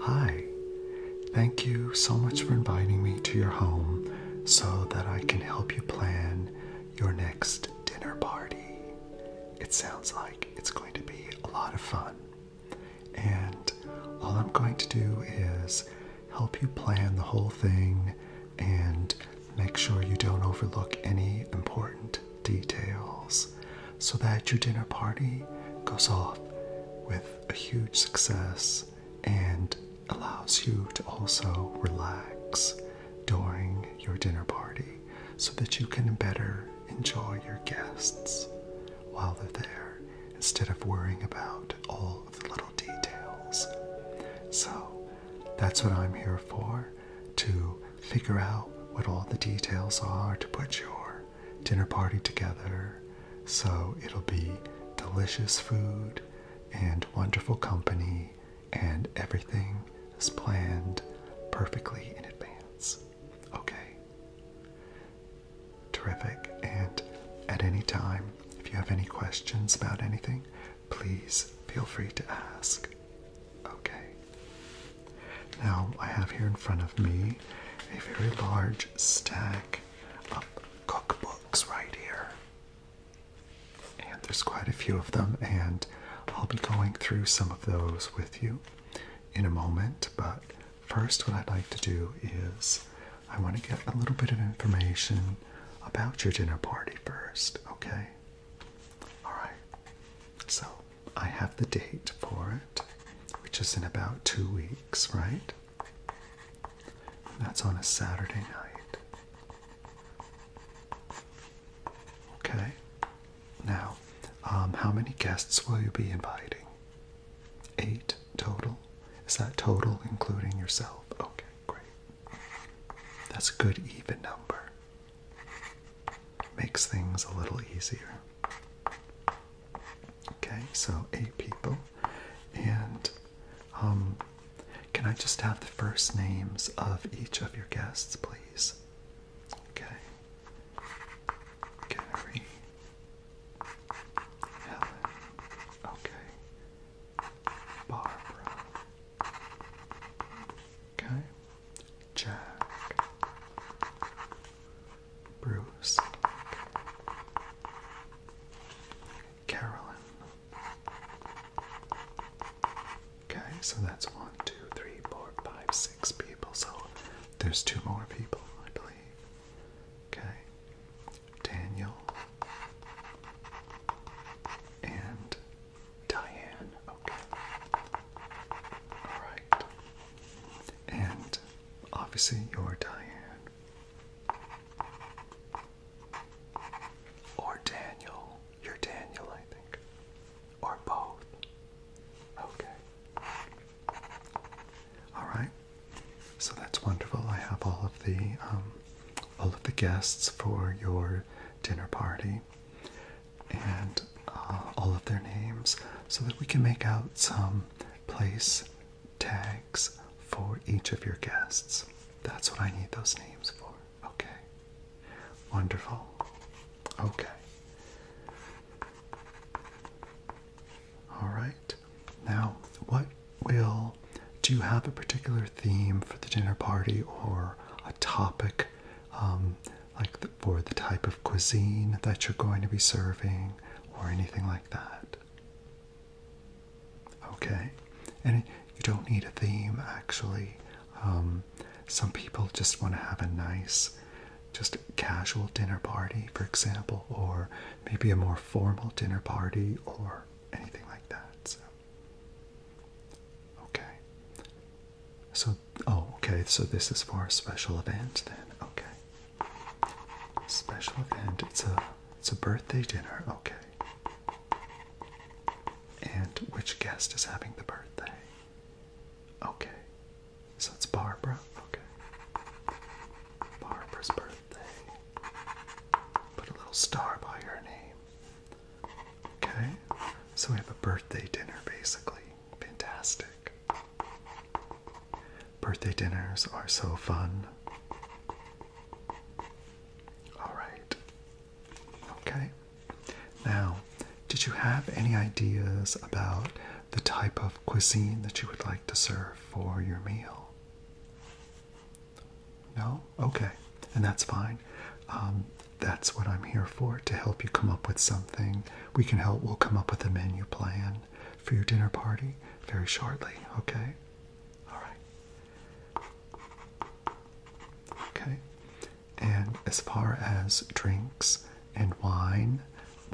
Hi, thank you so much for inviting me to your home so that I can help you plan your next dinner party. It sounds like it's going to be a lot of fun. And all I'm going to do is help you plan the whole thing and make sure you don't overlook any important details so that your dinner party goes off with a huge success and allows you to also relax during your dinner party so that you can better enjoy your guests while they're there instead of worrying about all of the little details. So that's what I'm here for to figure out what all the details are to put your dinner party together. So it'll be delicious food and wonderful company, and everything is planned perfectly in advance. Okay. Terrific. And at any time, if you have any questions about anything, please feel free to ask. Okay. Now I have here in front of me a very large stack of cookbooks right here. And there's quite a few of them, and I'll be going through some of those with you in a moment. But first, what I'd like to do is I want to get a little bit of information about your dinner party first, okay? Alright, so I have the date for it, which is in about two weeks, right? That's on a Saturday night. Okay, now, um, how many guests will you be inviting? Eight total? Is that total including yourself? Okay, great. That's a good even number makes things a little easier. Okay, so eight people. And um, can I just have the first names of each of your guests, please? Okay. Gary. Helen. Okay. Barbara. Okay. Jack, Bruce, Carolyn. Okay, so that's one, two, three, four, five, six people. So there's two more people, I believe. Okay, Daniel and Diane. Okay. All right. And obviously, you're Diane. Or Daniel. You're Daniel, I think. Or both. Okay. All right. So that's wonderful. I have all of the um, all of the guests for your dinner party and uh, all of their names so that we can make out some place tags for each of your guests. That's what I need those names for. Okay. Wonderful. Okay. All right. Now, what will do you have a particular theme for the dinner party or a topic um, like for the type of cuisine that you're going to be serving or anything like that. Okay, and you don't need a theme actually. Um, some people just want to have a nice, just casual dinner party, for example, or maybe a more formal dinner party or anything like that. So. Okay, so, oh, okay, so this is for a special event then. Okay. Special event. It's a it's a birthday dinner. Okay. And which guest is having the birthday? Okay. So it's Barbara. Okay. Barbara's birthday. Put a little star by her name. Okay. So we have a birthday dinner basically. Fantastic. Birthday dinners are so fun. All right. Okay. Now, did you have any ideas about the type of cuisine that you would like to serve for your meal? No? Okay. And that's fine. Um, that's what I'm here for to help you come up with something. We can help, we'll come up with a menu plan for your dinner party very shortly, okay? All right. Okay. And as far as drinks and wine,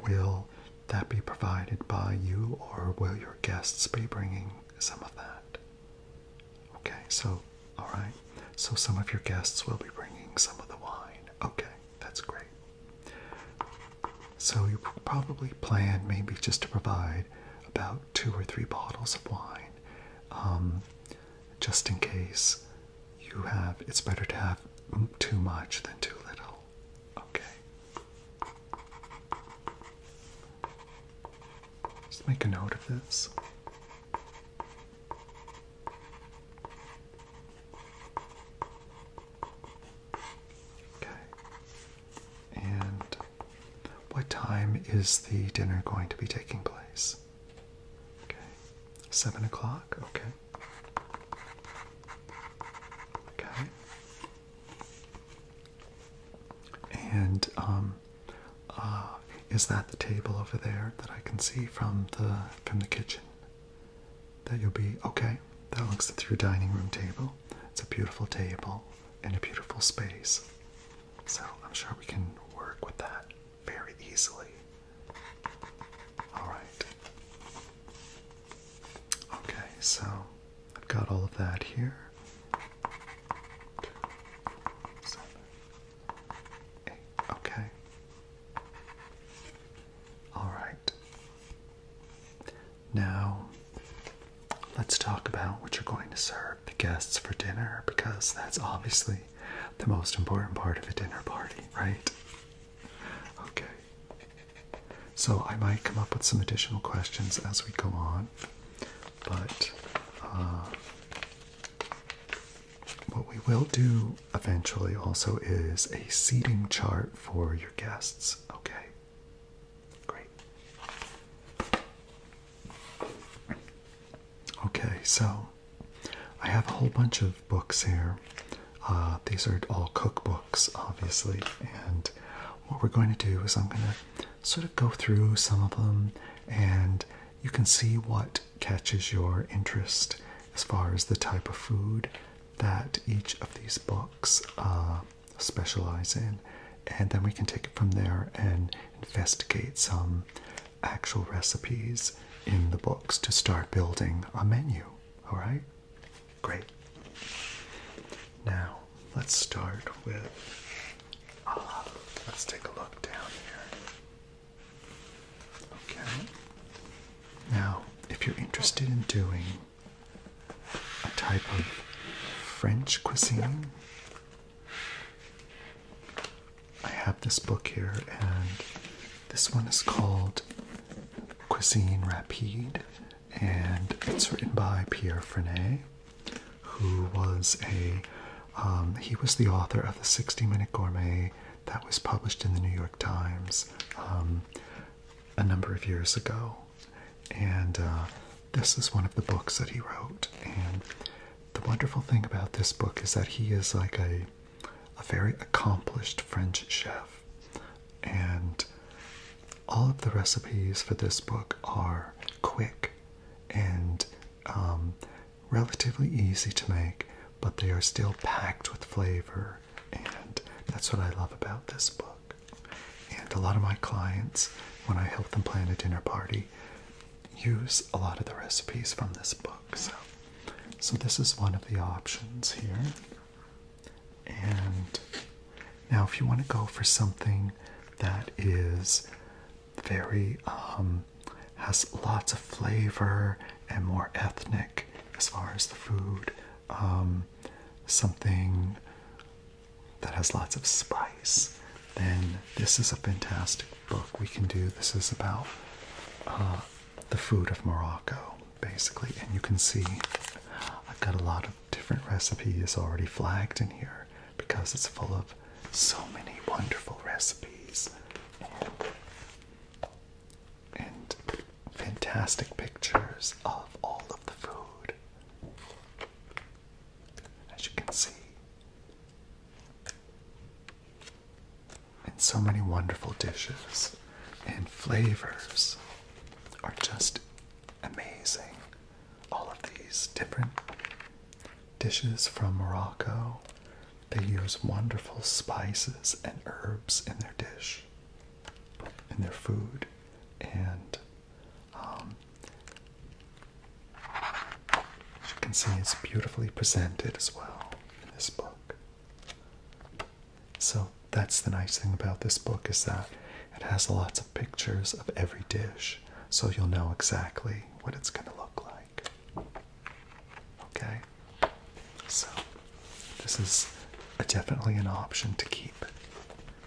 will that be provided by you or will your guests be bringing some of that? Okay, so, all right. So some of your guests will be bringing some of the wine. Okay that's great. So you probably plan maybe just to provide about two or three bottles of wine, um, just in case you have. It's better to have too much than too little. Okay. Just make a note of this. Okay. And what time is the dinner going to be taking place? Okay. Seven o'clock? Okay. Okay. And um uh, is that the table over there that I can see from the from the kitchen? that you'll be okay. That looks through dining room table. It's a beautiful table and a beautiful space. So I'm sure we can work with that very easily. Alright. Okay, so I've got all of that here. Okay. All right. Now, let's talk about what you're going to serve the guests for dinner because that's obviously the most important part of a dinner party, right? Okay. So, I might come up with some additional questions as we go on, but uh, what we will do eventually also is a seating chart for your guests, okay? Great. Okay, so I have a whole bunch of books here. Uh, these are all cookbooks, obviously, and what we're going to do is I'm going to sort of go through some of them and you can see what catches your interest as far as the type of food that each of these books uh, specialize in. And then we can take it from there and investigate some actual recipes in the books to start building a menu. All right? Great. Now, let's start with. Uh, let's take a look down here. Okay. Now, if you're interested in doing a type of French cuisine, I have this book here, and this one is called Cuisine Rapide, and it's written by Pierre Frenet, who was a um, he was the author of the 60 Minute Gourmet that was published in the New York Times um, a number of years ago. And uh, this is one of the books that he wrote. And the wonderful thing about this book is that he is like a, a very accomplished French chef. And all of the recipes for this book are quick and um, relatively easy to make, but they are still packed with flavor and that's what I love about this book. And a lot of my clients, when I help them plan a dinner party, use a lot of the recipes from this book. So, so this is one of the options here. And now, if you want to go for something that is very um, has lots of flavor and more ethnic as far as the food. Um, something that has lots of spice, then this is a fantastic book we can do. This is about uh, the food of Morocco, basically. And you can see I've got a lot of different recipes already flagged in here because it's full of so many wonderful recipes and fantastic pictures of all of the food. As you can see, and so many wonderful dishes and flavors are just amazing. All of these different dishes from Morocco they use wonderful spices and herbs in their dish, in their food, and um, as you can see, it's beautifully presented as well in this book. So that's the nice thing about this book is that it has lots of pictures of every dish, so you'll know exactly what it's going to look like. Okay, so this is definitely an option to keep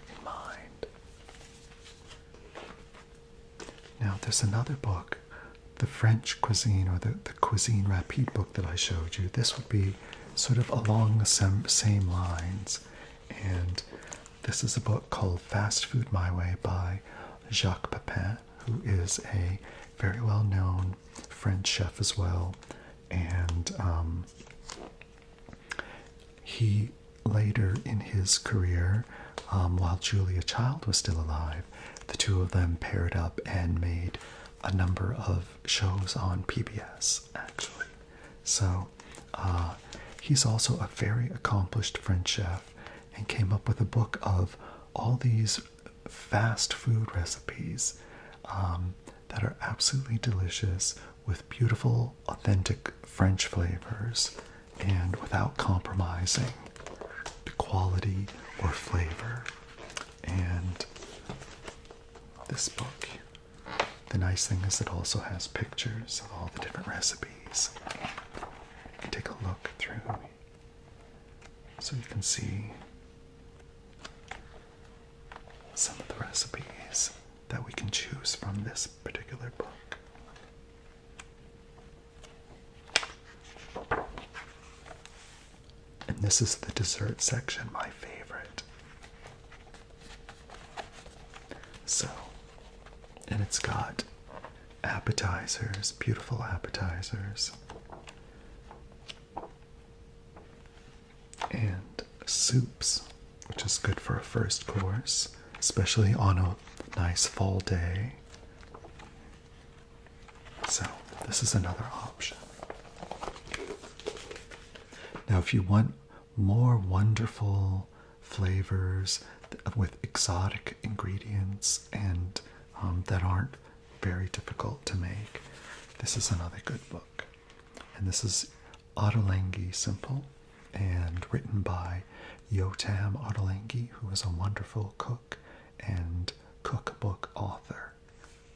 in mind. Now, there's another book, the French cuisine or the, the Cuisine Rapide book that I showed you. This would be sort of along the same, same lines. And this is a book called Fast Food My Way by Jacques Pepin, who is a very well known French chef as well, and um, he later in his career, um, while Julia Child was still alive, the two of them paired up and made a number of shows on PBS actually. So uh, he's also a very accomplished French chef and came up with a book of all these fast food recipes um, that are absolutely delicious with beautiful, authentic French flavors and without compromising the quality or flavor. And this book, the nice thing is it also has pictures of all the different recipes. Take a look through so you can see some of the recipes that we can choose from this particular book. And this is the dessert section, my favorite. So, and it's got appetizers, beautiful appetizers and soups, which is good for a first course, especially on a nice fall day. So, this is another option. Now, if you want more wonderful flavors with exotic ingredients and um, that aren't very difficult to make. This is another good book. And this is Ottolenghi Simple and written by Yotam Ottolenghi, who is a wonderful cook and cookbook author.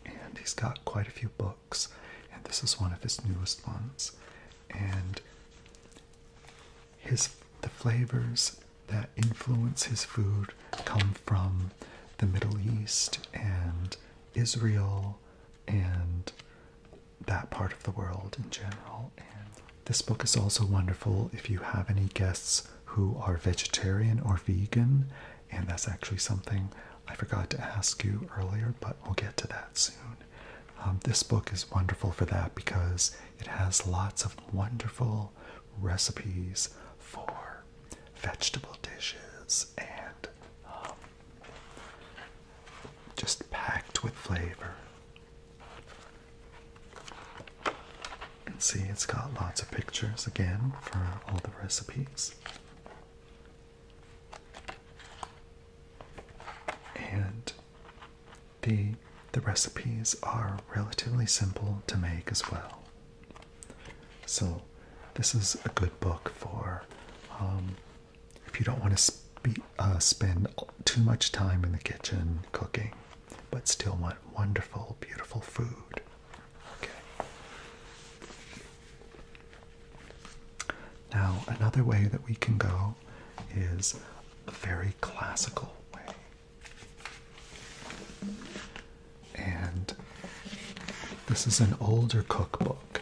And he's got quite a few books, and this is one of his newest ones. And his the flavors that influence his food come from the Middle East and Israel and that part of the world in general. And this book is also wonderful if you have any guests who are vegetarian or vegan, and that's actually something I forgot to ask you earlier, but we'll get to that soon. Um, this book is wonderful for that because it has lots of wonderful recipes for vegetable dishes and um, just packed with flavor. And see, it's got lots of pictures again for all the recipes. And the the recipes are relatively simple to make as well. So, this is a good book for um, if you don't want to uh, spend too much time in the kitchen cooking, but still want wonderful, beautiful food. Okay. Now, another way that we can go is a very classical way and this is an older cookbook,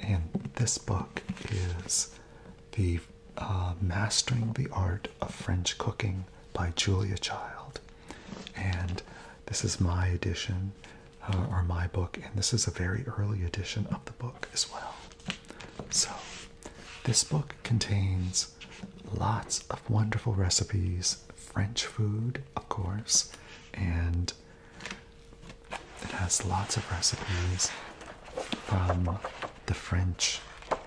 and this book is the uh, Mastering the Art of French Cooking by Julia Child, and this is my edition uh, or my book, and this is a very early edition of the book as well. So, this book contains lots of wonderful recipes French food, of course, and it has lots of recipes from the French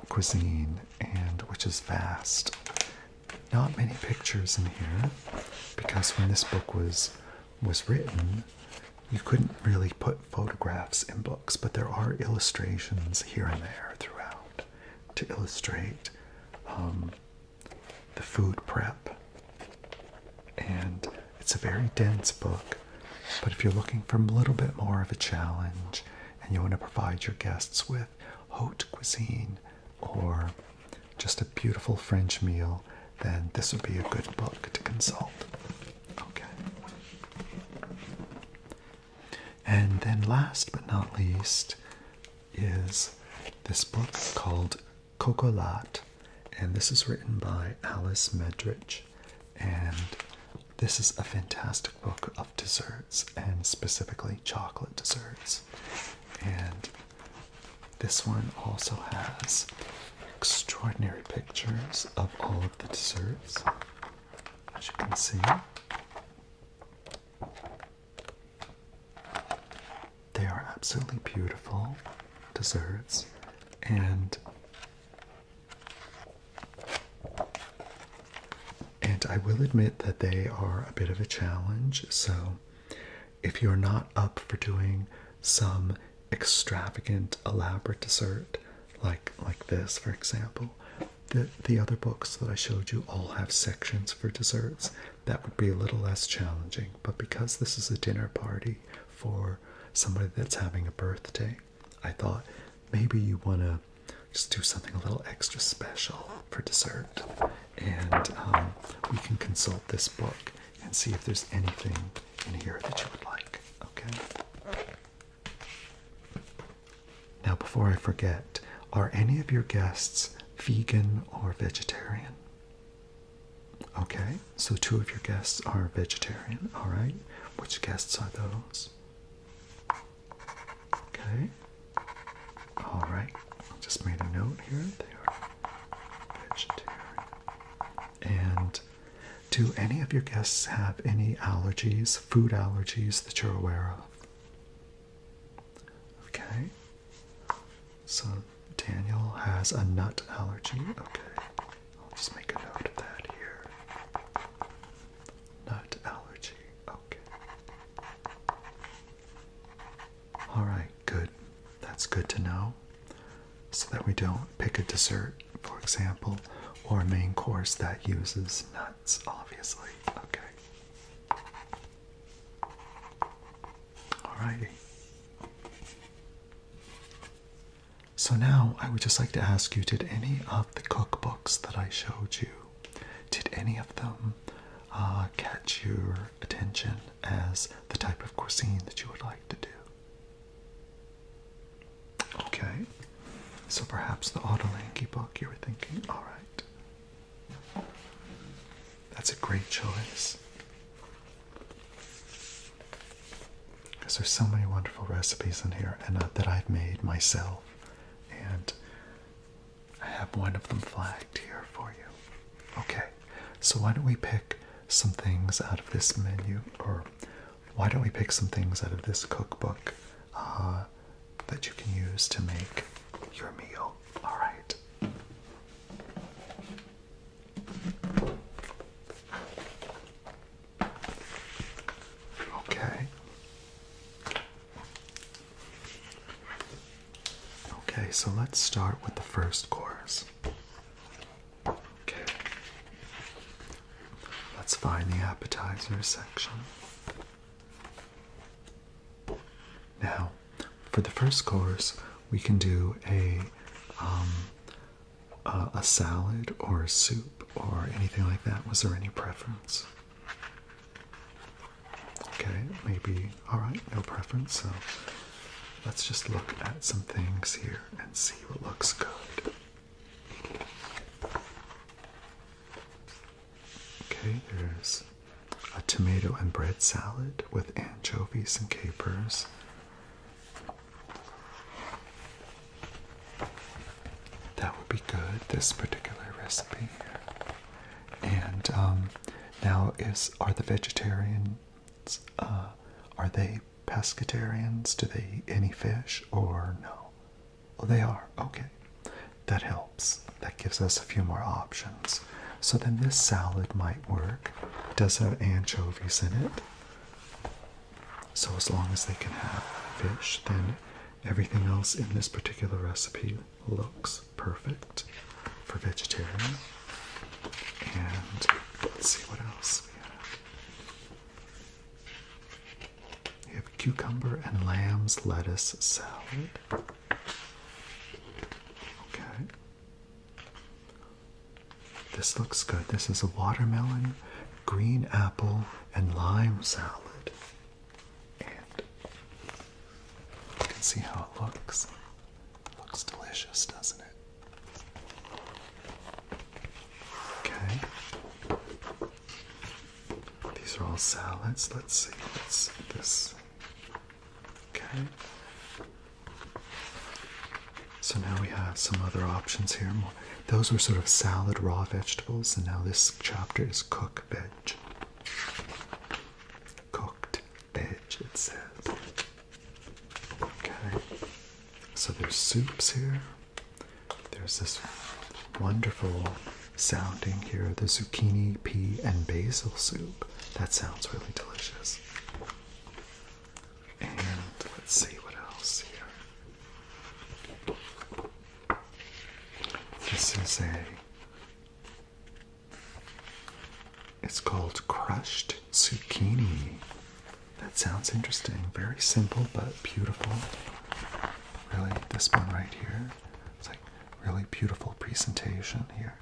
cuisine, and which is vast. Not many pictures in here because when this book was was written, you couldn't really put photographs in books, but there are illustrations here and there throughout to illustrate um, the food prep. And it's a very dense book, but if you're looking for a little bit more of a challenge and you want to provide your guests with haute cuisine or just a beautiful French meal, then this would be a good book to consult. Okay. And then last but not least is this book called Coco Cocolat, and this is written by Alice Medrich. And this is a fantastic book of desserts, and specifically chocolate desserts. And this one also has extraordinary pictures of all of the desserts, as you can see. They are absolutely beautiful desserts, and and I will admit that they are a bit of a challenge. So, if you're not up for doing some extravagant, elaborate dessert like like this, for example, the the other books that I showed you all have sections for desserts that would be a little less challenging. But because this is a dinner party for somebody that's having a birthday, I thought maybe you want to just do something a little extra special for dessert. And um, we can consult this book and see if there's anything in here that you would like. Okay? Now, before I forget, are any of your guests vegan or vegetarian? Okay, so two of your guests are vegetarian. All right, which guests are those? Okay, all right, I just made a note here. They are vegetarian. And do any of your guests have any allergies, food allergies that you're aware of? Okay. So Daniel has a nut allergy. Mm-hmm. Okay. I'll just make a note of that here. Nut allergy. Okay. Alright, good. That's good to know. So that we don't pick a dessert, for example, or a main course that uses nuts, obviously. Okay. Alrighty. So now I would just like to ask you did any of the cookbooks that I showed you, did any of them uh, catch your attention as the type of cuisine that you would like to do? Okay. So perhaps the Ottolenghi book you were thinking, alright. That's a great choice. Because there's so many wonderful recipes in here and uh, that I've made myself, and I have one of them flagged here for you. Okay, so why don't we pick some things out of this menu, or why don't we pick some things out of this cookbook uh, that you can use to make your meal? All right. Okay. Okay, so let's start with the first chorus. Okay. Let's find the appetizer section. Now, for the first course, we can do a um, a salad or a soup or anything like that. Was there any preference? Okay, maybe all right, no preference. So let's just look at some things here and see what looks good. Okay, there's a tomato and bread salad with anchovies and capers. That would be good, this particular recipe. And um, now is are the vegetarians uh, are they pescatarians? Do they eat any fish or no? they are. Okay. That helps. That gives us a few more options. So then this salad might work. It does have anchovies in it. So as long as they can have fish, then everything else in this particular recipe looks perfect for vegetarian. And let's see what else we have. We have cucumber and lamb's lettuce salad. Okay. This looks good. This is a watermelon, green apple, and lime salad. And you can see how it looks. looks delicious, doesn't it? Okay. These are all salads. Let's see. this Okay. So now we have some other options here. Those were sort of salad, raw vegetables, and now this chapter is cook veg. Cooked veg, it says. Okay. So there's soups here. There's this wonderful sounding here the zucchini, pea, and basil soup. That sounds really delicious. And let's see what else here. This is a. It's called crushed zucchini. That sounds interesting. Very simple but beautiful. Really, this one right here. It's like really beautiful presentation here.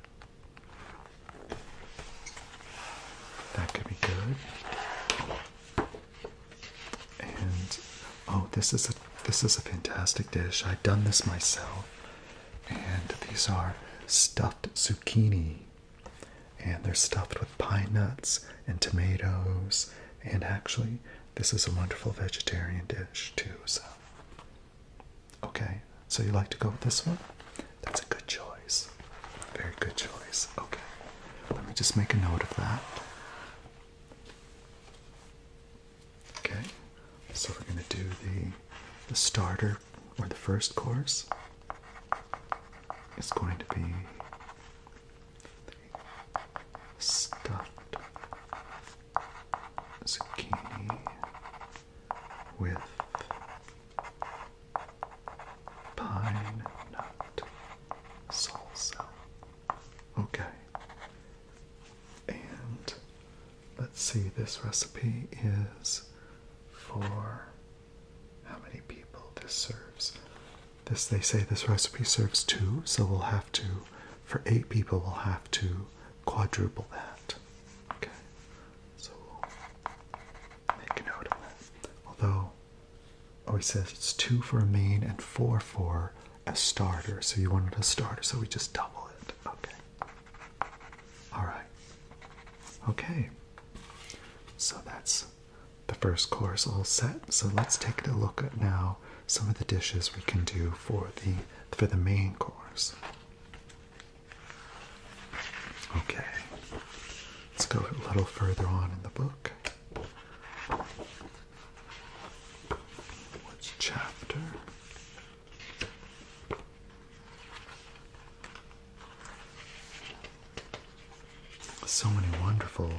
That could be good. And oh, this is a this is a fantastic dish. I've done this myself. And these are stuffed zucchini. And they're stuffed with pine nuts and tomatoes. And actually, this is a wonderful vegetarian dish too, so Okay, so you like to go with this one? That's a good choice. Very good choice. Okay, let me just make a note of that. Okay, so we're going to do the, the starter or the first course. It's going to be stuffed zucchini with pine nut salsa. Okay. And let's see, this recipe is for how many people this serves. This they say this recipe serves two, so we'll have to for eight people we'll have to quadruple that. Okay. So make a note of that. Although, oh, he says it's two for a main and four for a starter. So you wanted a starter, so we just double it. Okay. All right. Okay. So that's the first course all set. So let's take a look at now some of the dishes we can do for the for the main course. Okay, let's go a little further on in the book. What's chapter? So many wonderful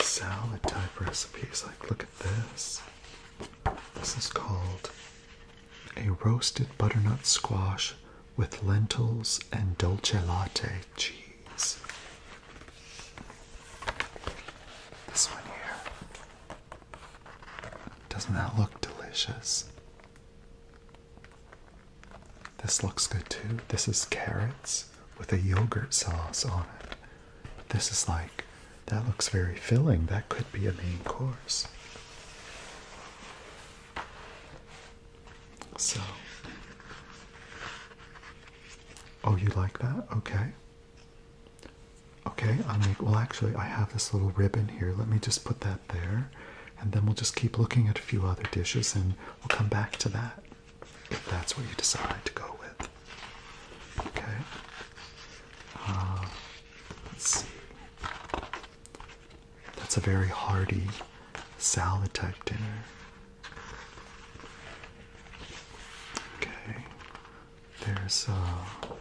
salad type recipes. Like, look at this. This is called a roasted butternut squash with lentils and dolce latte cheese. This one here. Doesn't that look delicious? This looks good too. This is carrots with a yogurt sauce on it. This is like, that looks very filling. That could be a main course. So, oh, you like that? Okay. Okay, I'm like, well, actually, I have this little ribbon here. Let me just put that there, and then we'll just keep looking at a few other dishes and we'll come back to that if that's what you decide to go with. Okay. Uh, let's that's a very hearty salad type dinner. Okay, there's a uh,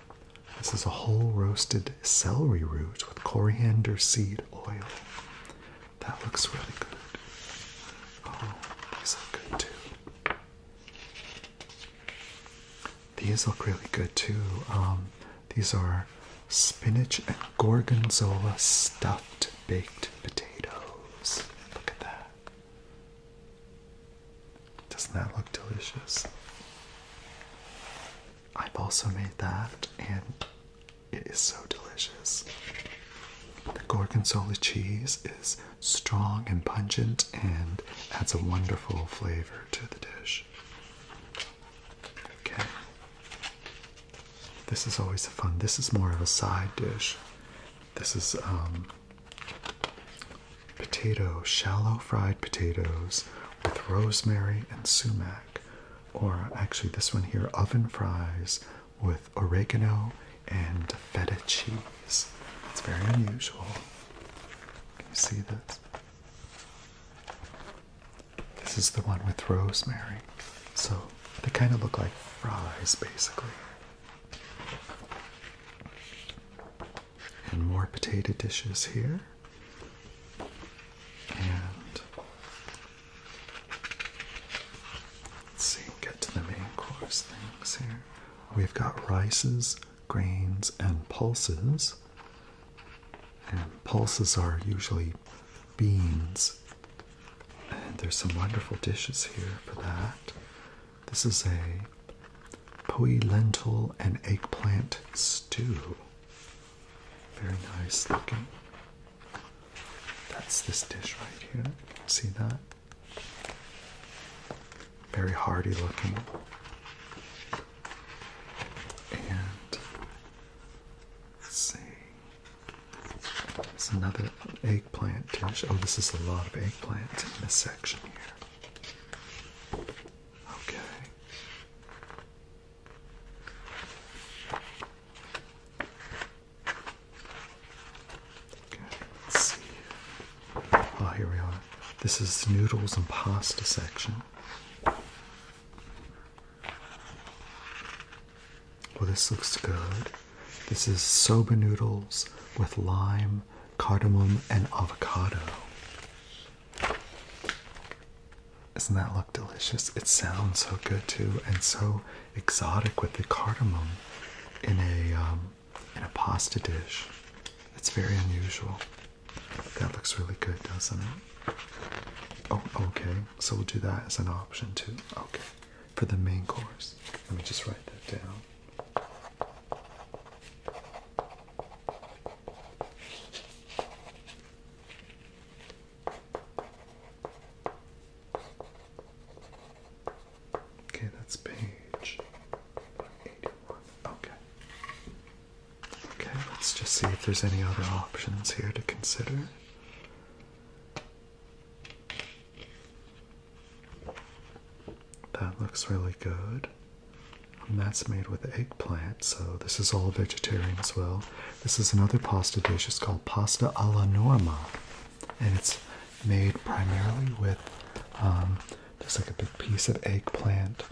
this is a whole roasted celery root with coriander seed oil. That looks really good. Oh, these look good too. These look really good too. Um, these are spinach and gorgonzola stuffed baked potatoes. Look at that. Doesn't that look delicious? I've also made that and it is so delicious. The gorgonzola cheese is strong and pungent and adds a wonderful flavor to the dish. Okay. This is always fun. This is more of a side dish. This is um, potato, shallow fried potatoes with rosemary and sumac. Or actually, this one here, oven fries with oregano and feta cheese. It's very unusual. Can you see this? This is the one with rosemary. So they kind of look like fries, basically. And more potato dishes here. And let's see, get to the main course things here. We've got rices, grains and pulses. And pulses are usually beans. there's some wonderful dishes here for that. This is a poi lentil and eggplant stew. Very nice looking. That's this dish right here. See that? Very hearty looking and let's see. There's another eggplant dish. Oh, this is a lot of eggplants in this section here. Okay. Okay, let's see. Oh, here we are. This is noodles and pasta section. Well, this looks good. This is soba noodles with lime, cardamom, and avocado. Doesn't that look delicious? It sounds so good too, and so exotic with the cardamom in a um, in a pasta dish. It's very unusual. That looks really good, doesn't it? Oh, okay. So we'll do that as an option too. Okay. For the main course. Let me just write that down. Okay, that's page 181. Okay. Okay, let's just see if there's any other options here to consider. That looks really good. And that's made with eggplant, so this is all vegetarian as well. This is another pasta dish. It's called pasta alla norma, and it's made primarily with just um, like a big piece of eggplant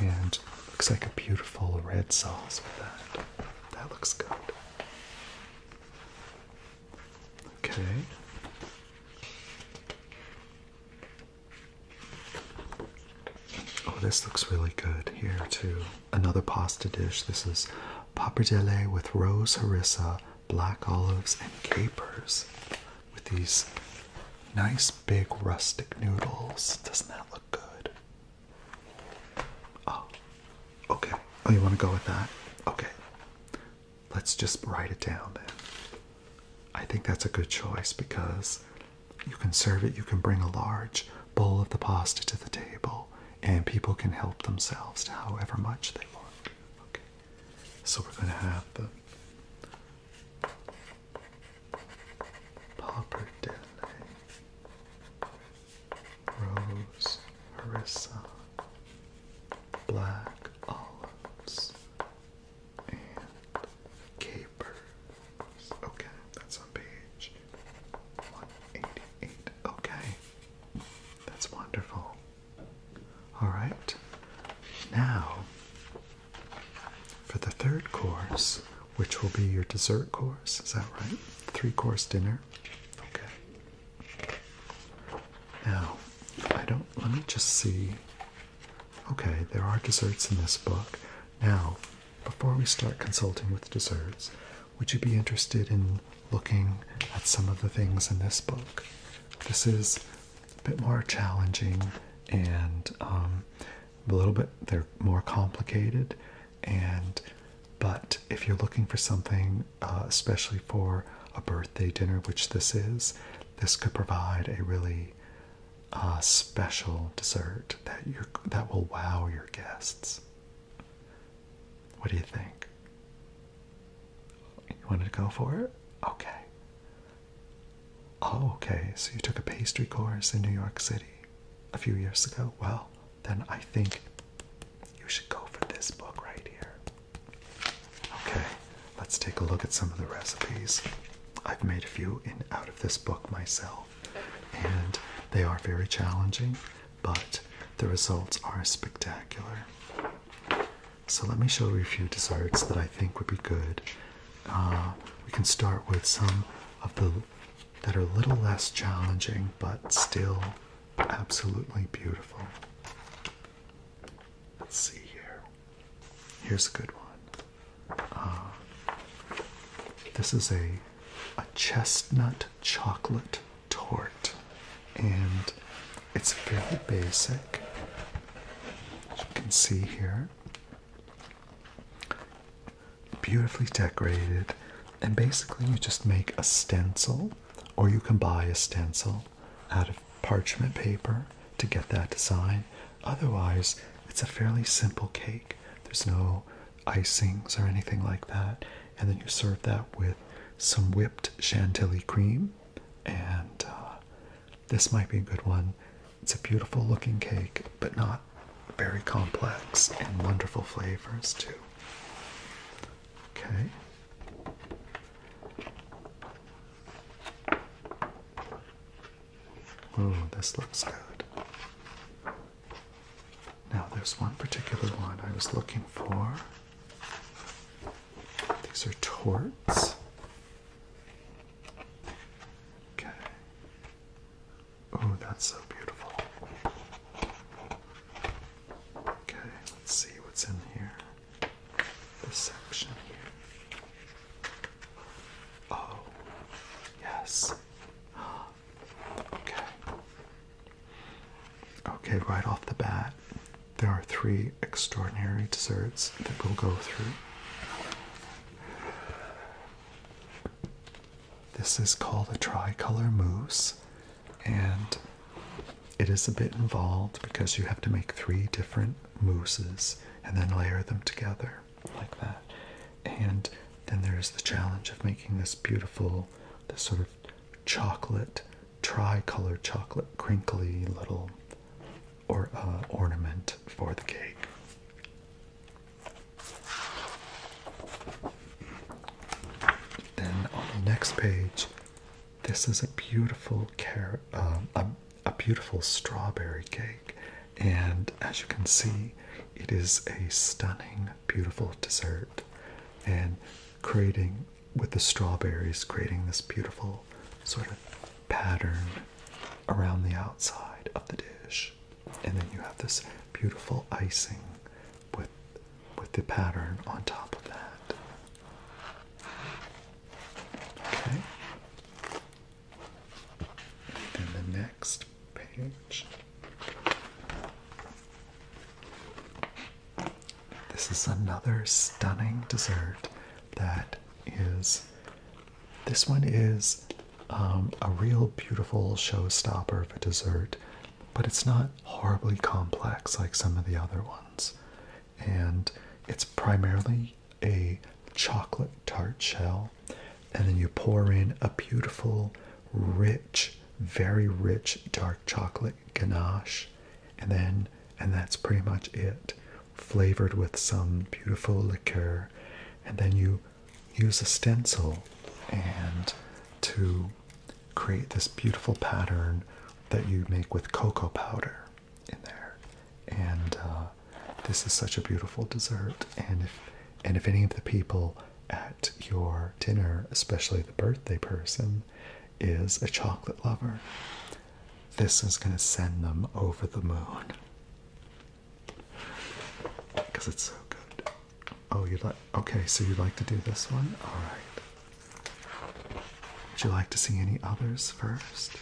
and looks like a beautiful red sauce with that. That looks good. Okay. Oh, this looks really good here too. Another pasta dish. This is pappardelle with rose harissa, black olives, and capers with these nice big rustic noodles. Doesn't that look good. Oh, okay. Oh, you want to go with that? Okay. Let's just write it down then. I think that's a good choice because you can serve it, you can bring a large bowl of the pasta to the table, and people can help themselves to however much they want. Okay. So we're going to have the Popper Dele, Rose Harissa, Black Olives, and Capers. Okay, that's on page 188. Okay, that's wonderful. All right, now for the third course, which will be your dessert course, is that right? Three course dinner. Okay. Now, I don't, let me just see. Okay, there are desserts in this book. Now, before we start consulting with desserts, would you be interested in looking at some of the things in this book? This is a bit more challenging and um, a little bit they're more complicated and but if you're looking for something uh, especially for a birthday dinner which this is this could provide a really uh, special dessert that you that will wow your guests what do you think you wanted to go for it okay oh, okay so you took a pastry course in new york city a few years ago, well, then I think you should go for this book right here. Okay, let's take a look at some of the recipes. I've made a few in out of this book myself, and they are very challenging, but the results are spectacular. So let me show you a few desserts that I think would be good. Uh, we can start with some of the that are a little less challenging but still absolutely beautiful. Let's see here. Here's a good one. Uh, this is a a chestnut chocolate torte, and it's very basic. As you can see here, beautifully decorated, and basically you just make a stencil, or you can buy a stencil out of parchment paper to get that design. Otherwise, it's a fairly simple cake. There's no icings or anything like that. And then you serve that with some whipped chantilly cream. And uh, this might be a good one it's a beautiful looking cake, but not very complex and wonderful flavors too. Okay. Oh, this looks good. Now, there's one particular one I was looking for. These are torts. Okay. Oh, that's so beautiful. Okay, let's see what's in here. This section here. Oh, yes. Okay. Okay, right off the bat, there are three extraordinary desserts that we'll go through. This is called a tricolor mousse, and it is a bit involved because you have to make three different mousses and then layer them together like that. And then there's the challenge of making this beautiful, this sort of chocolate, tricolor chocolate, crinkly little or uh, ornament for the cake. Then on the next page, this is a beautiful car um, a, a beautiful strawberry cake, and as you can see, it is a stunning, beautiful dessert, and creating with the strawberries, creating this beautiful sort of pattern around the outside of the dish and then you have this beautiful icing with with the pattern on top of that. Okay. And the next page. This is another stunning dessert that is this one is um, a real beautiful showstopper of a dessert, but it's not horribly complex like some of the other ones. And it's primarily a chocolate tart shell, and then you pour in a beautiful, rich, very rich dark chocolate ganache, and then and that's pretty much it. Flavored with some beautiful liqueur, and then you use a stencil and to create this beautiful pattern that you make with cocoa powder in there. And uh, this is such a beautiful dessert. And if and if any of the people at your dinner, especially the birthday person, is a chocolate lover, this is going to send them over the moon because it's so good. Oh, you like? Okay, so you would like to do this one? All right. Would you like to see any others first?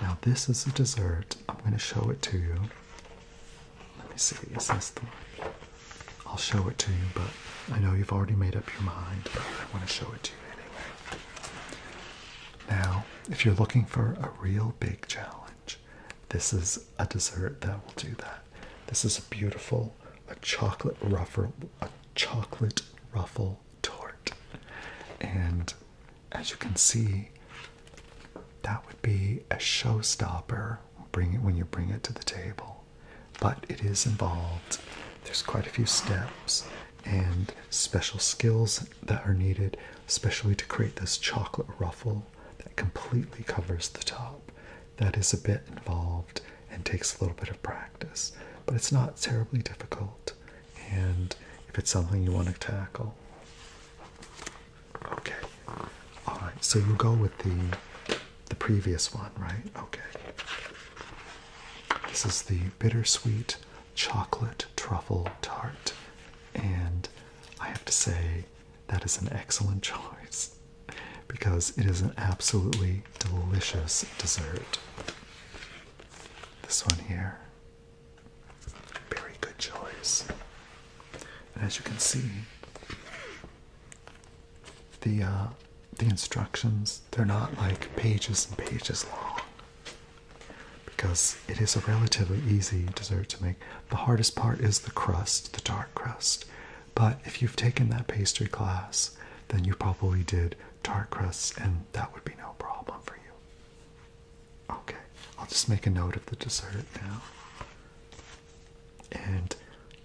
Now this is a dessert. I'm going to show it to you. Let me see. Is this the one? I'll show it to you, but I know you've already made up your mind. But I want to show it to you anyway. Now, if you're looking for a real big challenge, this is a dessert that will do that. This is a beautiful, a chocolate ruffle, a chocolate ruffle torte, And as you can see, that would be a showstopper bring it when you bring it to the table. But it is involved. There's quite a few steps and special skills that are needed, especially to create this chocolate ruffle that completely covers the top. That is a bit involved and takes a little bit of practice, but it's not terribly difficult. And if it's something you want to tackle, okay. All right, so you go with the the previous one, right? Okay. This is the bittersweet chocolate truffle tart, and I have to say that is an excellent choice because it is an absolutely delicious dessert. This one here. Very good choice. And as you can see, the uh, the instructions they're not like pages and pages long because it is a relatively easy dessert to make. The hardest part is the crust, the tart crust. But if you've taken that pastry class, then you probably did tart crusts, and that would be no problem for you. Okay, I'll just make a note of the dessert now. And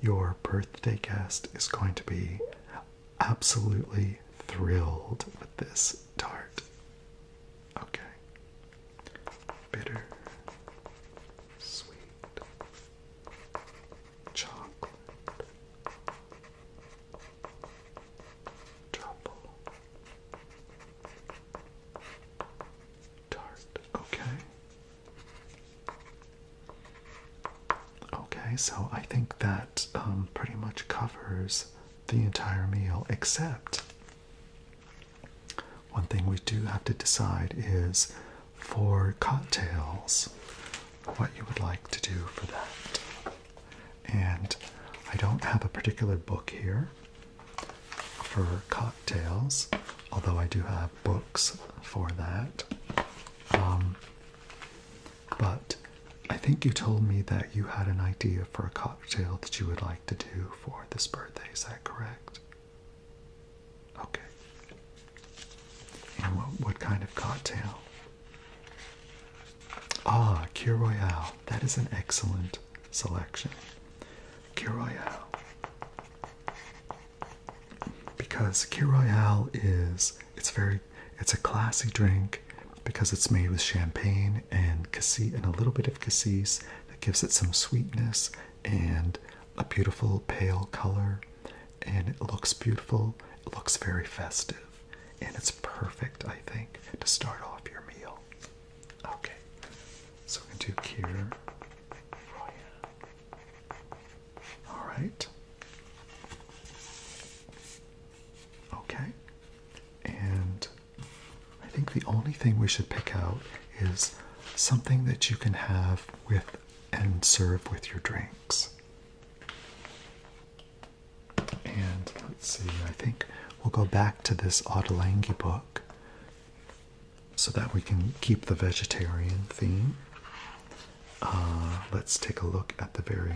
your birthday guest is going to be absolutely thrilled with this tart. Okay bitter, sweet, chocolate, trouble, tart. Okay. Okay, so I think that um, pretty much covers the entire meal except one thing we do have to decide is for cocktails, what you would like to do for that. And I don't have a particular book here for cocktails, although I do have books for that. Um, but I think you told me that you had an idea for a cocktail that you would like to do for this birthday. Is that correct? Okay. And what, kind of cocktail? Ah, Cure Royale. That is an excellent selection. Cure Royale. Because Cure Royale is it's very it's a classy drink because it's made with champagne and cassis and a little bit of cassis that gives it some sweetness and a beautiful pale color and it looks beautiful it looks very festive and it's perfect i think to start off your meal okay so we're going to do here all right okay and I think the only thing we should pick out is something that you can have with and serve with your drinks. And let's see, I think we'll go back to this Ottolenghi book so that we can keep the vegetarian theme. Uh, let's take a look at the very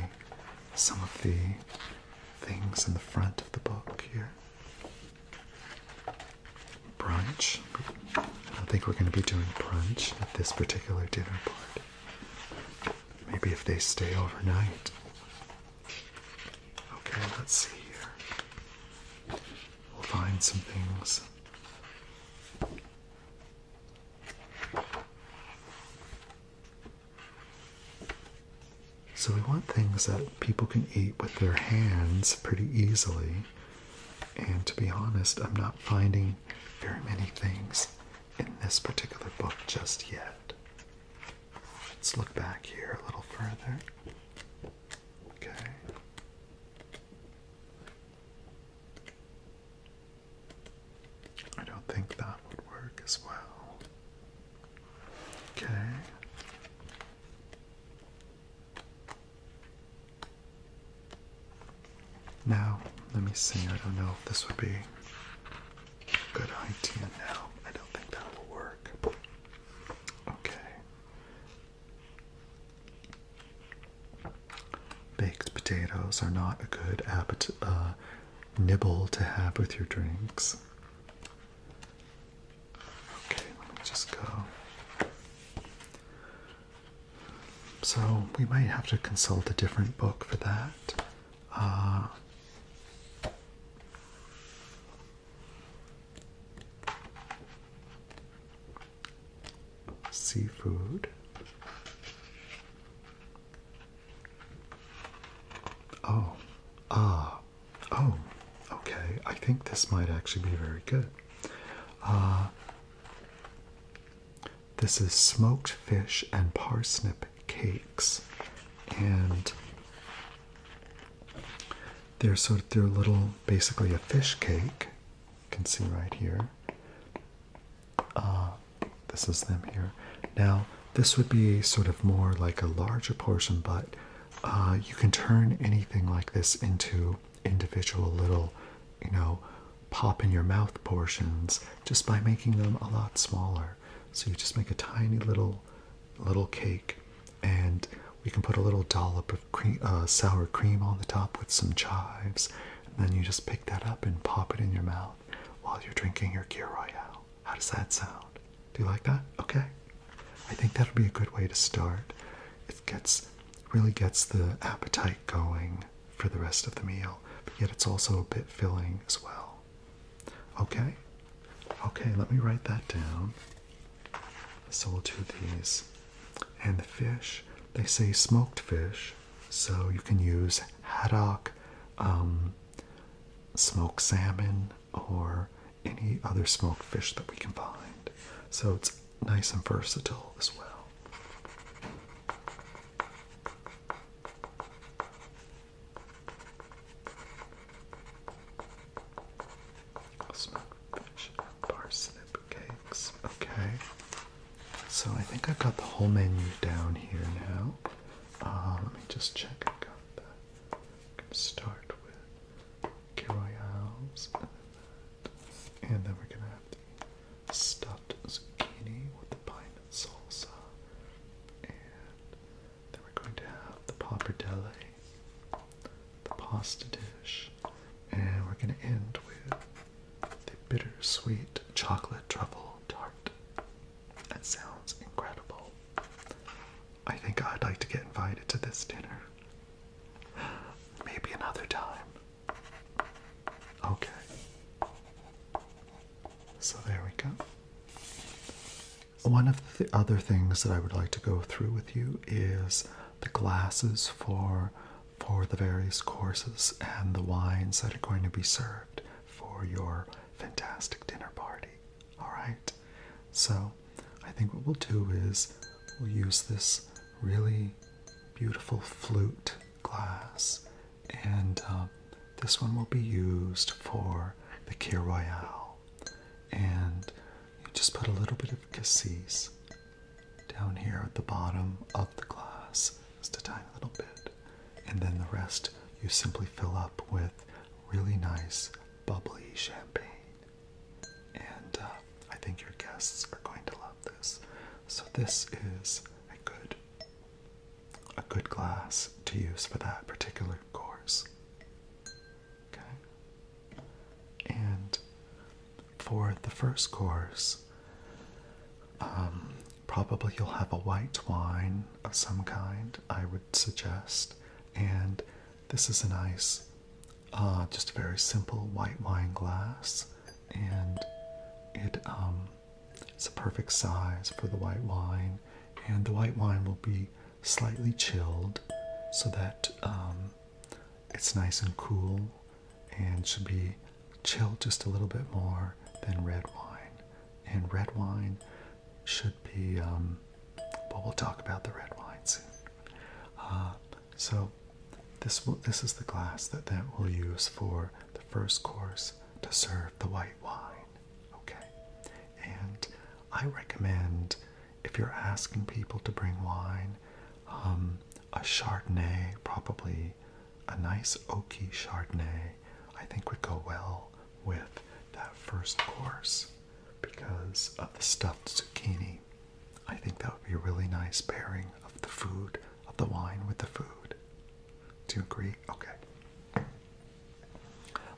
some of the things in the front of the book here brunch. I think we're going to be doing brunch at this particular dinner party. Maybe if they stay overnight. Okay, let's see here. We'll find some things. So we want things that people can eat with their hands pretty easily. And to be honest, I'm not finding very many things in this particular book just yet. Let's look back here a little further. Okay. I don't think that would work as well. Okay. Now, let me see. I don't know if this would be a good idea now. I don't think that will work. Okay. Baked potatoes are not a good uh, nibble to have with your drinks. Okay, let me just go. So we might have to consult a different book for that. Uh, seafood. Oh, ah, Oh, okay. I think this might actually be very good. Uh, this is smoked fish and parsnip cakes, and they're sort of they're little, basically a fish cake. You can see right here. Uh, this is them here. Now this would be sort of more like a larger portion, but uh, you can turn anything like this into individual little, you know, pop in your mouth portions just by making them a lot smaller. So you just make a tiny little, little cake, and we can put a little dollop of uh, sour cream on the top with some chives, and then you just pick that up and pop it in your mouth while you're drinking your Kir Royale. How does that sound? Do you like that? Okay. I think that'll be a good way to start. It gets really gets the appetite going for the rest of the meal, but yet it's also a bit filling as well. Okay? Okay, let me write that down. So we'll do these. And the fish, they say smoked fish, so you can use haddock, um, smoked salmon, or any other smoked fish that we can find. So it's nice and versatile as well. Smoked fish parsnip cakes. Okay. So I think I've got the whole menu down here now. Uh, let me just check. got that. can start with Gilroy and then we're gonna have the stuffed zucchini with the pine salsa. And then we're going to have the pappardelle, the pasta dish, and we're gonna end with the bittersweet chocolate truffle tart. That sounds incredible. I think I'd like to get invited to this dinner. Maybe another time. Okay. So there we go. One of the other things that I would like to go through with you is the glasses for for the various courses and the wines that are going to be served for your fantastic dinner party. All right. So I think what we'll do is we'll use this really beautiful flute glass, and um, this one will be used for the Kir Royale. And you just put a little bit of cassis down here at the bottom of the glass, just a tiny little bit, and then the rest you simply fill up with really nice bubbly champagne. And uh, I think your guests are going to love this. So this is a good a good glass to use for that particular course. Okay. And for the first course, um, probably you'll have a white wine of some kind, I would suggest. And this is a nice uh, just a very simple white wine glass, and it um, it's a perfect size for the white wine. And the white wine will be slightly chilled, so that um, it's nice and cool, and should be chilled just a little bit more than red wine. And red wine should be, um, but we'll talk about the red wine soon. Uh, so this this is the glass that that we'll use for the first course to serve the white wine. Okay, and I recommend if you're asking people to bring wine, um, a Chardonnay, probably a nice oaky Chardonnay, I think would go well with that first course because of the stuffed zucchini. I think that would be a really nice pairing of the food, of the wine with the food. Do you agree? Okay.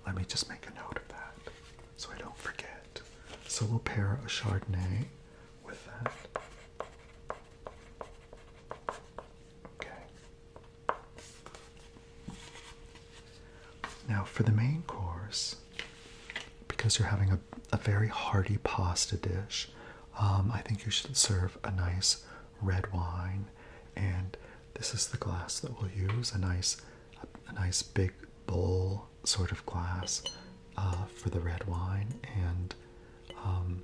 Let me just make a note of that so I don't forget. So we'll pair a Chardonnay with that. Okay. Now for the main course, because you're having a, a very hearty pasta dish. Um, I think you should serve a nice red wine, and this is the glass that we'll use a nice, a, nice big bowl sort of glass uh, for the red wine, and um,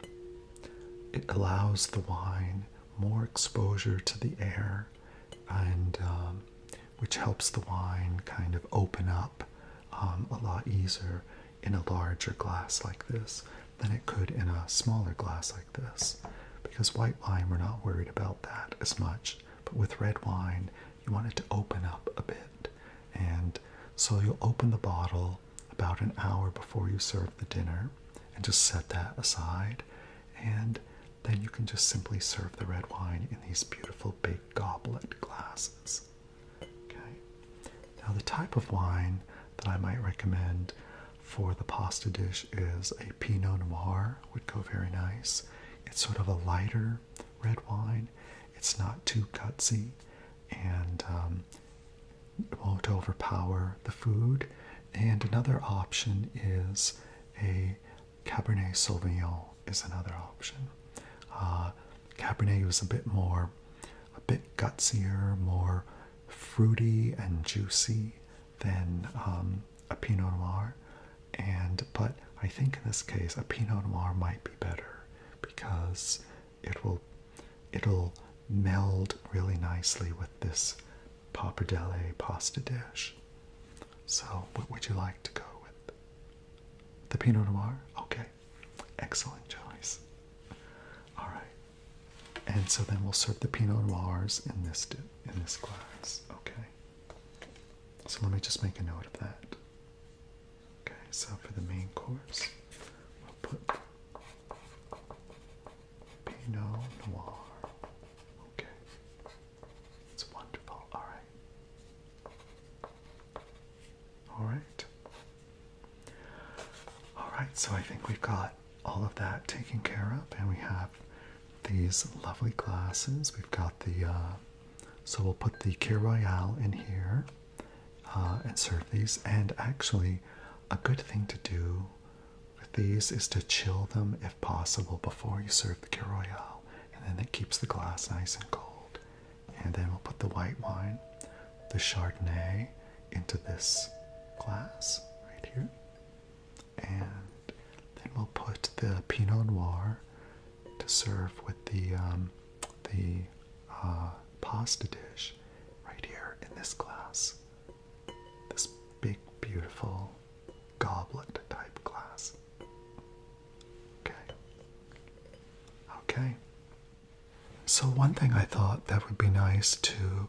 it allows the wine more exposure to the air and um, which helps the wine kind of open up um, a lot easier in a larger glass like this than it could in a smaller glass like this. Because white wine, we're not worried about that as much. But with red wine, you want it to open up a bit. And so you'll open the bottle about an hour before you serve the dinner and just set that aside. And then you can just simply serve the red wine in these beautiful big goblet glasses. Now the type of wine that I might recommend for the pasta dish is a Pinot Noir would go very nice. It's sort of a lighter red wine. It's not too gutsy and um, it won't overpower the food. And another option is a Cabernet Sauvignon is another option. Uh, Cabernet is a bit more, a bit gutsier, more fruity and juicy than um, a Pinot Noir, and but I think in this case a Pinot Noir might be better because it will it'll meld really nicely with this pappardelle pasta dish. So, what would you like to go with? The Pinot Noir? Okay. Excellent choice. All right. And so then we'll serve the Pinot Noirs in this dip in this glass. Okay. So let me just make a note of that. Okay, so for the main course, we'll put Pinot Noir. Okay. It's wonderful. All right. All right. All right, so I think we've got all of that taken care of, and we have these lovely glasses. We've got the, uh, so we'll put the Kir Royale in here uh, and serve these. And actually, a good thing to do with these is to chill them if possible before you serve the Kir Royale, and then it keeps the glass nice and cold and then we'll put the white wine, the Chardonnay, into this glass right here. And then we'll put the Pinot Noir to serve with the um, the uh, pasta dish right here in this glass. This big, beautiful goblet type glass. Okay. Okay. So, one thing I thought that would be nice to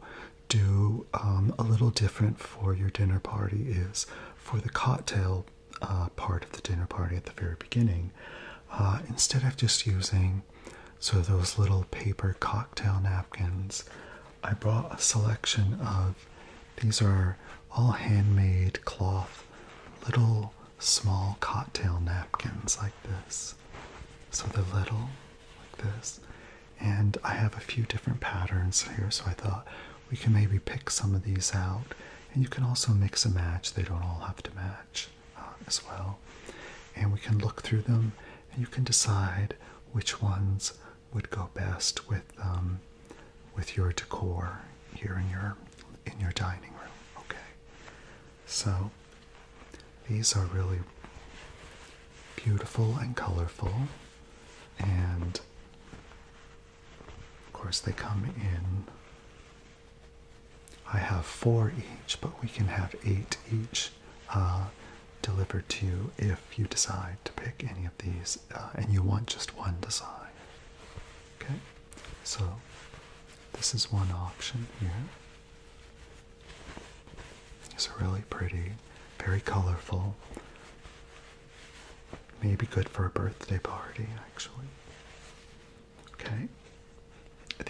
do um, a little different for your dinner party is for the cocktail uh, part of the dinner party at the very beginning, uh, instead of just using so those little paper cocktail napkins, I brought a selection of these are all handmade cloth, little small cocktail napkins like this. So they're little, like this. And I have a few different patterns here, so I thought we can maybe pick some of these out. And you can also mix and match, they don't all have to match uh, as well. And we can look through them and you can decide which ones would go best with um, with your decor here in your in your dining room. Okay. So these are really beautiful and colorful and of course they come in I have four each, but we can have eight each uh, delivered to you if you decide to pick any of these uh, and you want just one design. Okay, so this is one option here. It's really pretty, very colorful. Maybe good for a birthday party, actually. Okay,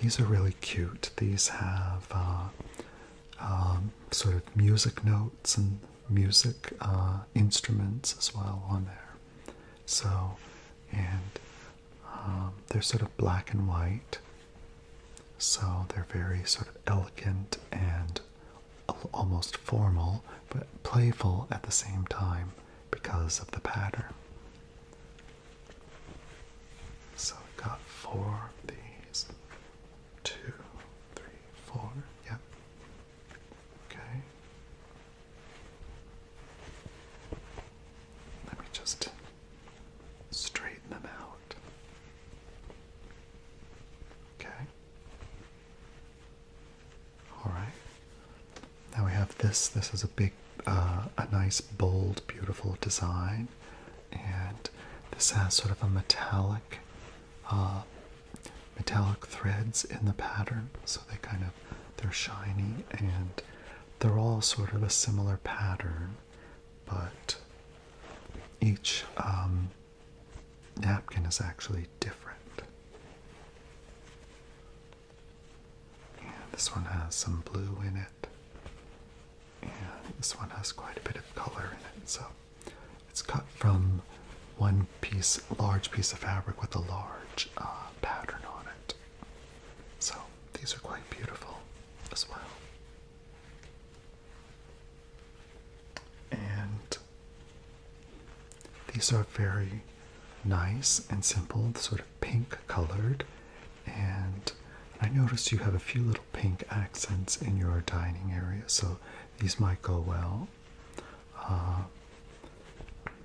these are really cute. These have uh, um, sort of music notes and music uh, instruments as well on there. So, and um, they're sort of black and white. So they're very sort of elegant and almost formal, but playful at the same time because of the pattern. So we've got four of these. Two, three, four. Yep. Okay. Let me just straighten them out. Okay. All right. Now we have this. This is a big, uh, a nice, bold, beautiful design, and this has sort of a metallic, uh, metallic threads in the pattern, so they kind of they're shiny and they're all sort of a similar pattern, but each um, napkin is actually different. this one has some blue in it, and this one has quite a bit of color in it. So it's cut from one piece, large piece of fabric with a large uh, pattern on it. So these are quite beautiful as well. And these are very nice and simple, sort of pink colored. And I noticed you have a few little pink accents in your dining area, so these might go well. Uh,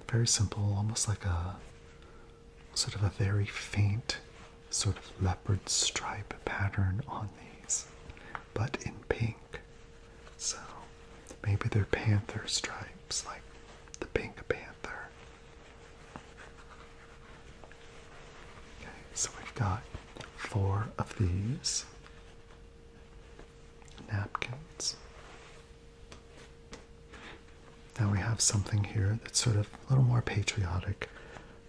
very simple, almost like a sort of a very faint sort of leopard stripe pattern on these, but in pink. So maybe they're panther stripes, like the pink panther. Okay, so we've got four of these napkins. Now we have something here that's sort of a little more patriotic.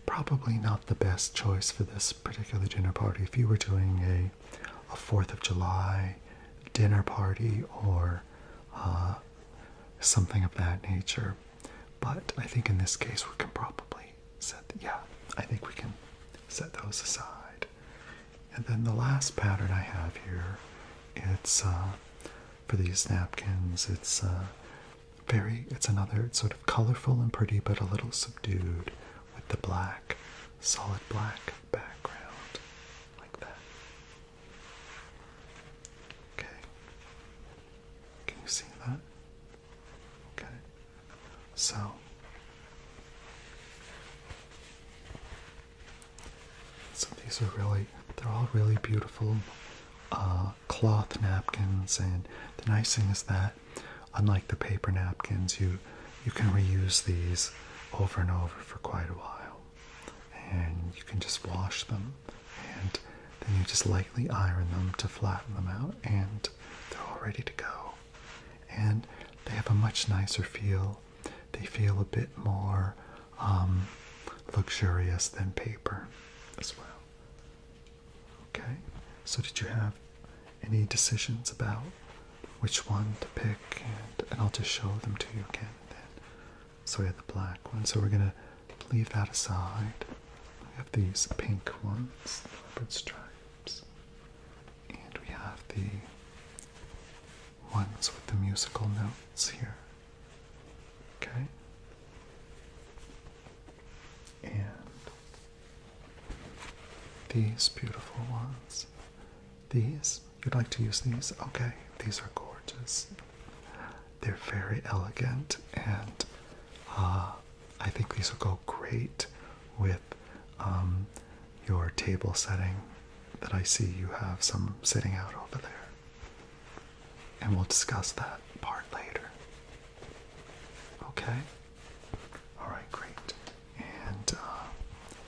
Probably not the best choice for this particular dinner party. If you were doing a, a 4th of July dinner party or uh, something of that nature. But I think in this case we can probably set, yeah, I think we can set those aside. And then the last pattern I have here, it's uh, for these napkins. It's uh, very, it's another sort of colorful and pretty, but a little subdued with the black, solid black background, like that. Okay. Can you see that? Okay. So so these are really, they're all really beautiful uh, cloth napkins, and the nice thing is that, unlike the paper napkins, you you can reuse these over and over for quite a while, and you can just wash them, and then you just lightly iron them to flatten them out, and they're all ready to go. And they have a much nicer feel. They feel a bit more um, luxurious than paper as well. Okay, so did you have any decisions about which one to pick? And, I'll just show them to you again then. So we have the black one, so we're going to leave that aside. We have these pink ones, leopard stripes, and we have the ones with the musical notes here Okay. And these beautiful ones. These? You'd like to use these? Okay, these are gorgeous. They're very elegant, and uh, I think these will go great with um, your table setting that I see you have some sitting out over there. And we'll discuss that part later. Okay? Alright, great. And uh,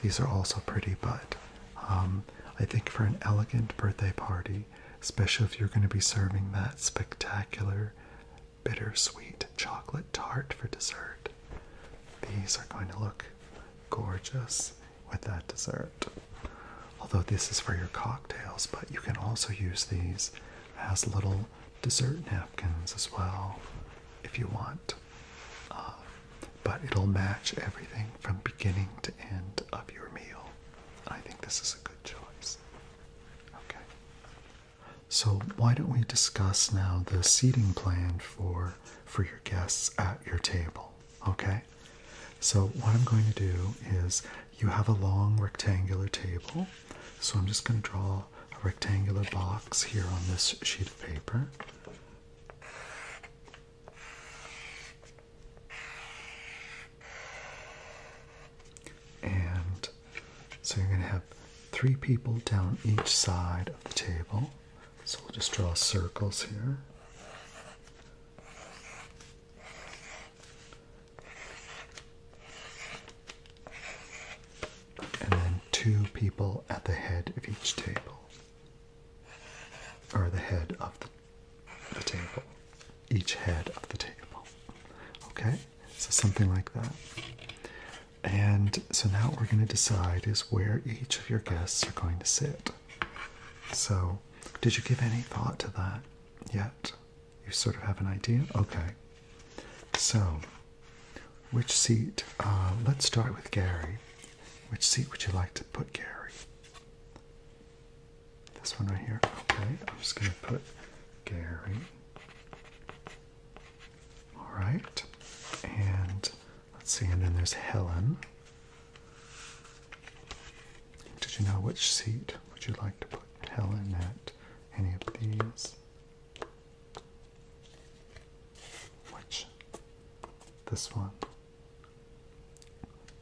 these are also pretty, but um, I think for an elegant birthday party, especially if you're going to be serving that spectacular bittersweet chocolate tart for dessert, these are going to look gorgeous with that dessert. Although this is for your cocktails, but you can also use these as little dessert napkins as well if you want. Um, but it'll match everything from beginning to end of your meal. I think this is a good choice. Okay. So, why don't we discuss now the seating plan for for your guests at your table? Okay, so what I'm going to do is you have a long rectangular table, so I'm just going to draw a rectangular box here on this sheet of paper. And so you're going to have three people down each side of the table. So we'll just draw circles here. And then two people at the head of each table, or the head of the, the table, each head of the table. Okay, so something like that. And so now what we're going to decide is where each of your guests are going to sit. So did you give any thought to that yet? You sort of have an idea? Okay. So, which seat? Uh, let's start with Gary. Which seat would you like to put Gary? This one right here? Okay, I'm just going to put Gary. Alright. And Let's see, and then there's Helen. Did you know which seat would you like to put Helen at? Any of these? Which? This one.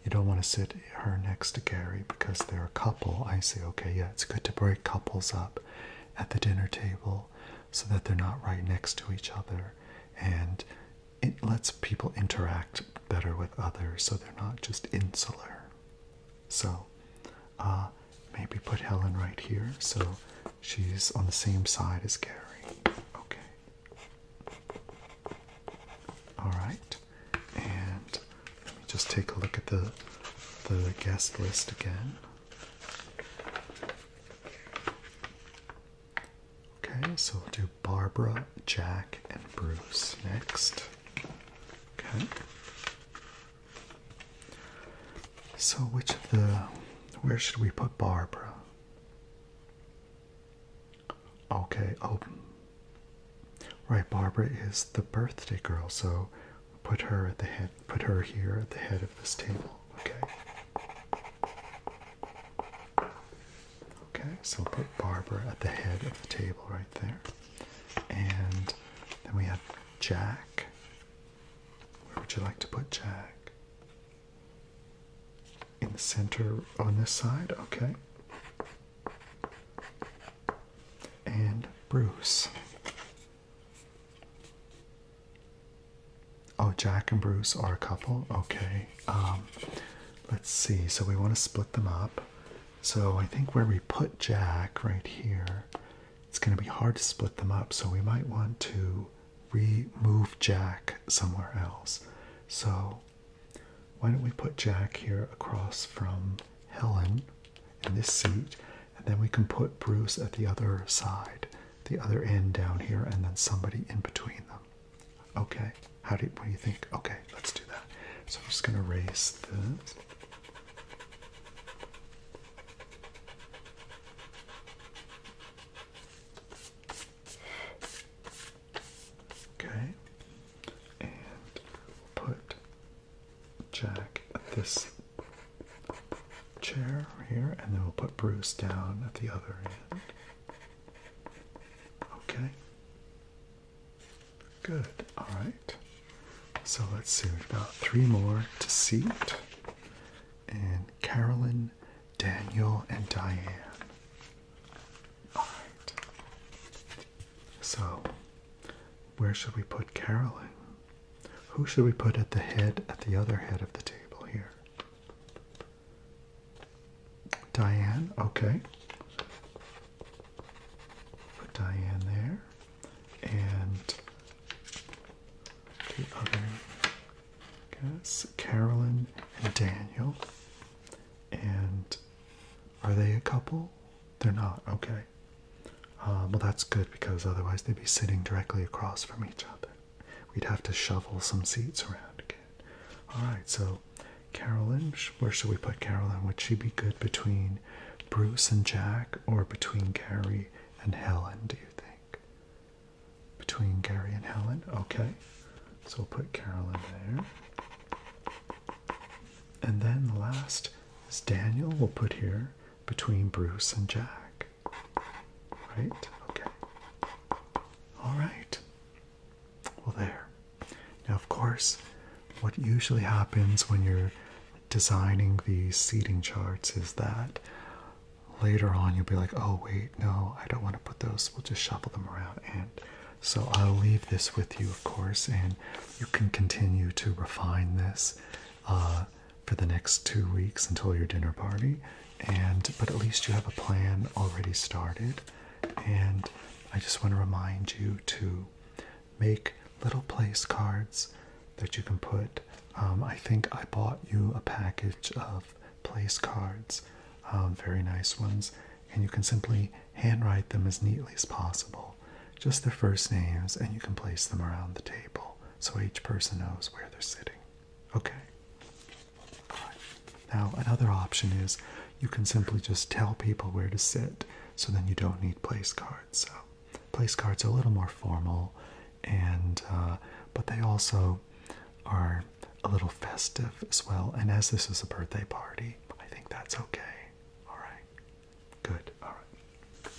You don't want to sit her next to Gary because they're a couple. I say, okay, yeah, it's good to break couples up at the dinner table so that they're not right next to each other and it lets people interact better with others so they're not just insular. So uh, maybe put Helen right here so she's on the same side as Gary. Okay. Alright. And let me just take a look at the the guest list again. Okay, so we'll do Barbara, Jack, and Bruce next. Okay. So, which of the. Where should we put Barbara? Okay, oh. Right, Barbara is the birthday girl, so put her at the head put her here at the head of this table, okay? Okay, so put Barbara at the head of the table right there. And then we have Jack. Where would you like to put Jack? In the center on this side, okay. And Bruce. Oh, Jack and Bruce are a couple? Okay. Um, Let's see. So we want to split them up. So I think where we put Jack right here, it's going to be hard to split them up. So we might want to remove Jack somewhere else. So why don't we put Jack here across from Helen in this seat, and then we can put Bruce at the other side, the other end down here, and then somebody in between them. Okay. How do you, what do you think? Okay, let's do that. So I'm just gonna raise this. Okay, and put Jack at this chair here, and then we'll put Bruce down at the other end. Okay. Good. All right. So let's see. We've got three more to seat. And Carolyn, Daniel, and Diane. All right. So where should we put Carolyn? Who should we put at the head, at the other head of the table here? Diane, okay. Put Diane there. And the other guess Carolyn and Daniel. And are they a couple? They're not, okay. Um, well, that's good because otherwise they'd be sitting directly across from each other. We'd have to shovel some seats around. Okay? All right, so Carolyn, where should we put Carolyn? Would she be good between Bruce and Jack or between Gary and Helen, do you think? Between Gary and Helen? Okay. So we'll put Carolyn there. And then the last is Daniel, we'll put here between Bruce and Jack. Right? Okay. All right. Well, there. Now, of course, what usually happens when you're designing these seating charts is that later on you'll be like, oh, wait, no, I don't want to put those, we'll just shuffle them around. And so I'll leave this with you, of course, and you can continue to refine this uh, for the next two weeks until your dinner party. And but at least you have a plan already started and I just want to remind you to make little place cards that you can put. Um, I think I bought you a package of place cards, um, very nice ones, and you can simply handwrite them as neatly as possible. Just their first names, and you can place them around the table so each person knows where they're sitting. Okay. Now, another option is you can simply just tell people where to sit, so then you don't need place cards. So, place cards are a little more formal, and uh, but they also are a little festive as well. And as this is a birthday party, I think that's okay. All right, good. All right.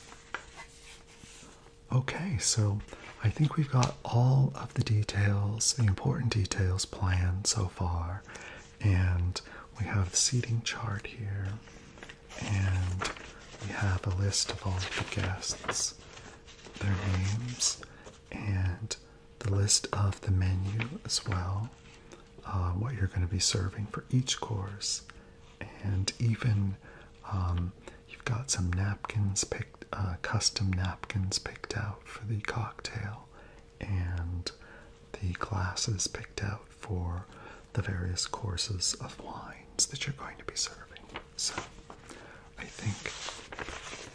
Okay, so I think we've got all the details, the important details planned so far. And we have the seating chart here. And we have a list of all the guests, their names, and the list of the menu as well. Uh, what you're going to be serving for each course, and even um, you've got some napkins picked, uh, custom napkins picked out for the cocktail, and the glasses picked out for the various courses of wines that you're going to be serving. So I think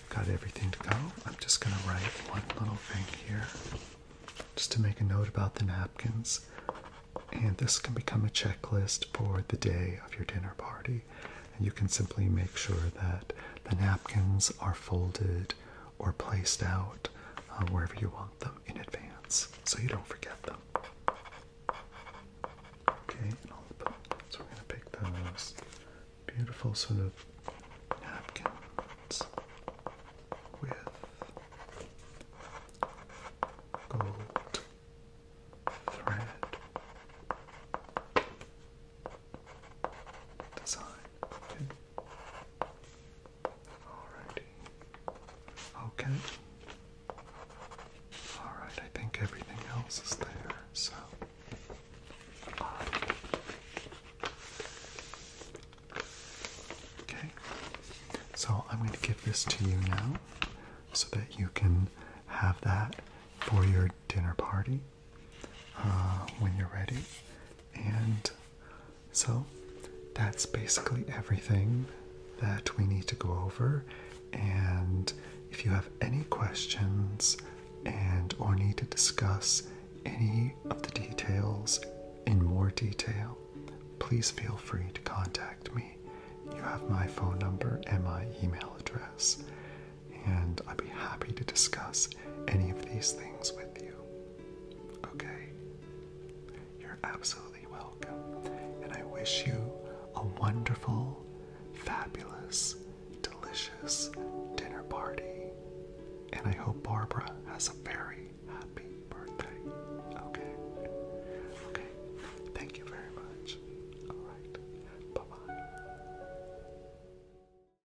got everything to go. I'm just going to write one little thing here just to make a note about the napkins. And this can become a checklist for the day of your dinner party. you can simply make sure that the napkins are folded or placed out uh, wherever you want them in advance so you don't forget them. Okay, so we're going to pick those beautiful sort of napkins with gold thread design. Okay. Alrighty. Okay. Alright, I think everything else is there, so. Okay. So I'm going to give this to you now so that you can have that for your dinner party. Uh, when you're ready. And so that's basically everything that we need to go over. And if you have any questions and or need to discuss any of the details in more detail, please feel free to contact me. You have my phone number and my email address and I'd be happy to discuss any of these things with you. Okay? You're absolutely welcome, and I wish you a wonderful, fabulous, delicious dinner party. And I hope Barbara has a very happy birthday. Okay? Okay. Thank you very much. All right. Bye bye.